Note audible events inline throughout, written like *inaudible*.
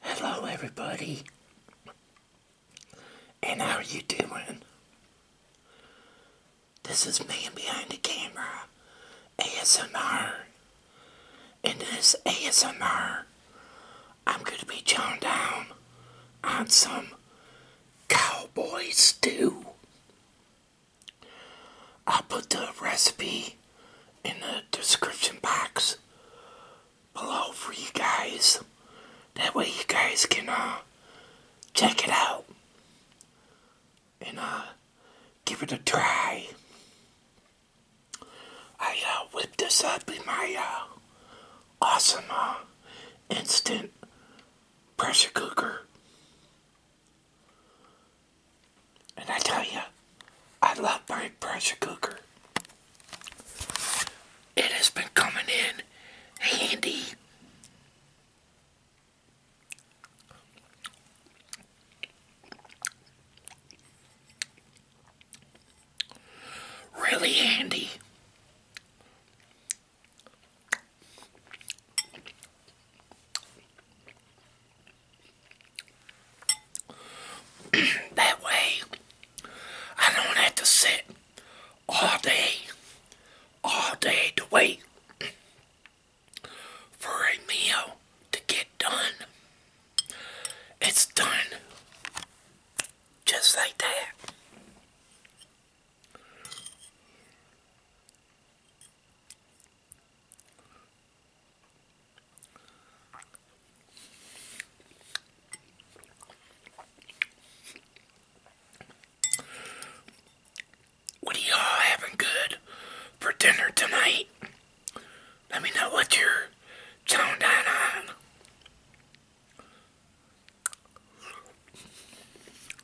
Hello, everybody, and how are you doing? This is me Behind the Camera ASMR, and this ASMR, I'm going to be chowing down on some cowboy stew. I'll put the recipe in the description box below for you guys. That way you guys can uh, check it out and uh, give it a try. I uh, whipped this up in my uh, awesome instant pressure cooker. And I tell you, I love my pressure cooker. It has been coming in handy. Really handy. *clears throat* that way I don't have to sit all day, all day to wait *clears throat* for a meal to get done. It's done just like that. What are y'all having good for dinner tonight? Let me know what you're chowing down on.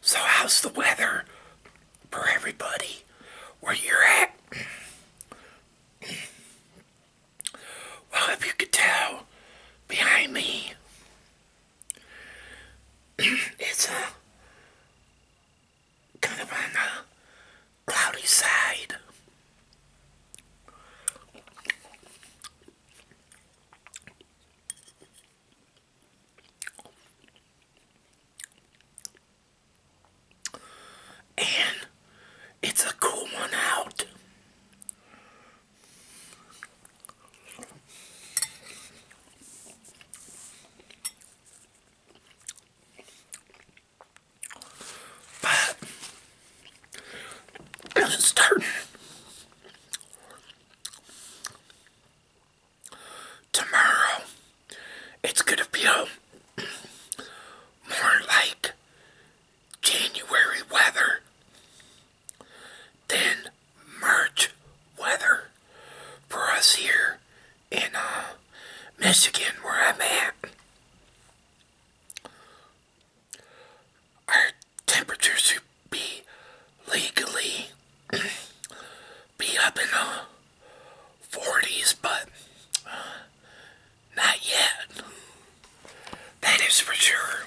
So, how's the weather for everybody where you're at? Well, if you could tell, behind me, it's a kind of on the cloudy side. And it's a cool one out. But *clears throat* it's starting Tomorrow, it's going to be a more like January weather than March weather for us here in uh, Michigan, where I'm at our temperature should be legally *clears throat* be up in the 40s, but not yet. That is for sure.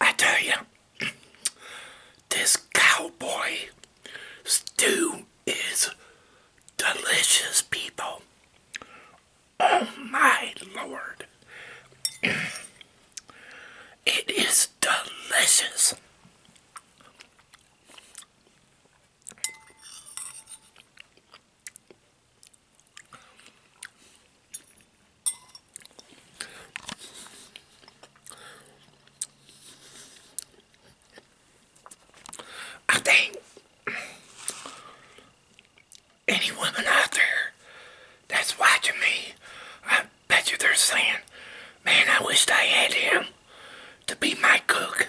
I tell you, this cowboy stew is delicious, people. Oh my lord. it is delicious. I think any woman out there that's watching me, I bet you they're saying, man, I wish I had him to be my cook.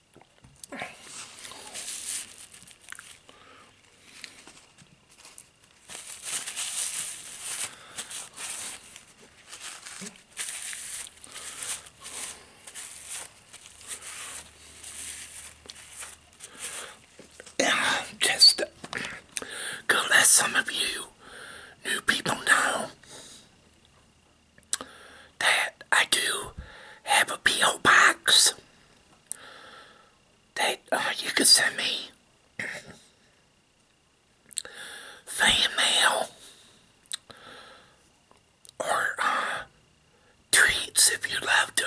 *clears throat* just go let some of you new people know that I do have a P.O. box that uh, you could send me fan mail or uh, if you love to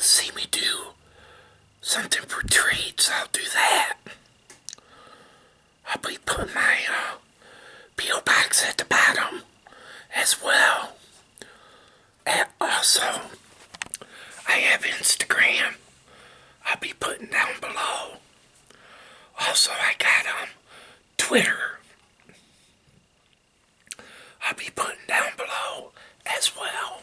see me do something for treats. I'll do that. I'll be putting my uh, box at the bottom as well. And also, I have Instagram. I'll be putting down below. Also, I got um, Twitter. I'll be putting down below as well.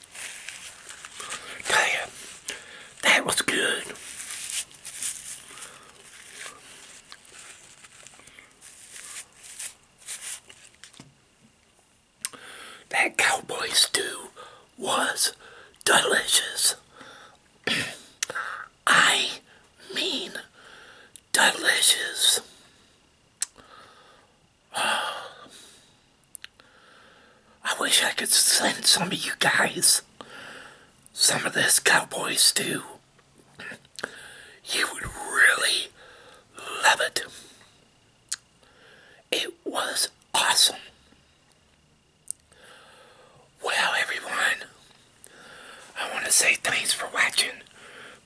Tell you, that was good. That cowboy stew was delicious. *clears throat* I mean, delicious. *sighs* Oh. I wish I could send some of you guys some of this cowboys stew. You would really love it. It was awesome. Well, everyone, I want to say thanks for watching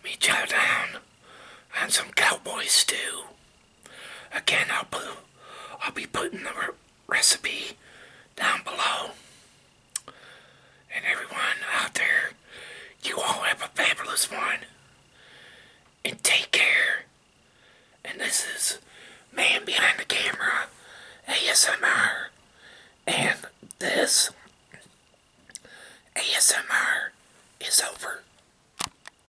me chow down on some cowboy stew. Again, I'll, put, I'll be putting the recipe down below. And everyone out there, you all have a fabulous one. And take care. And this is Man Behind the Camera ASMR. And this ASMR is over.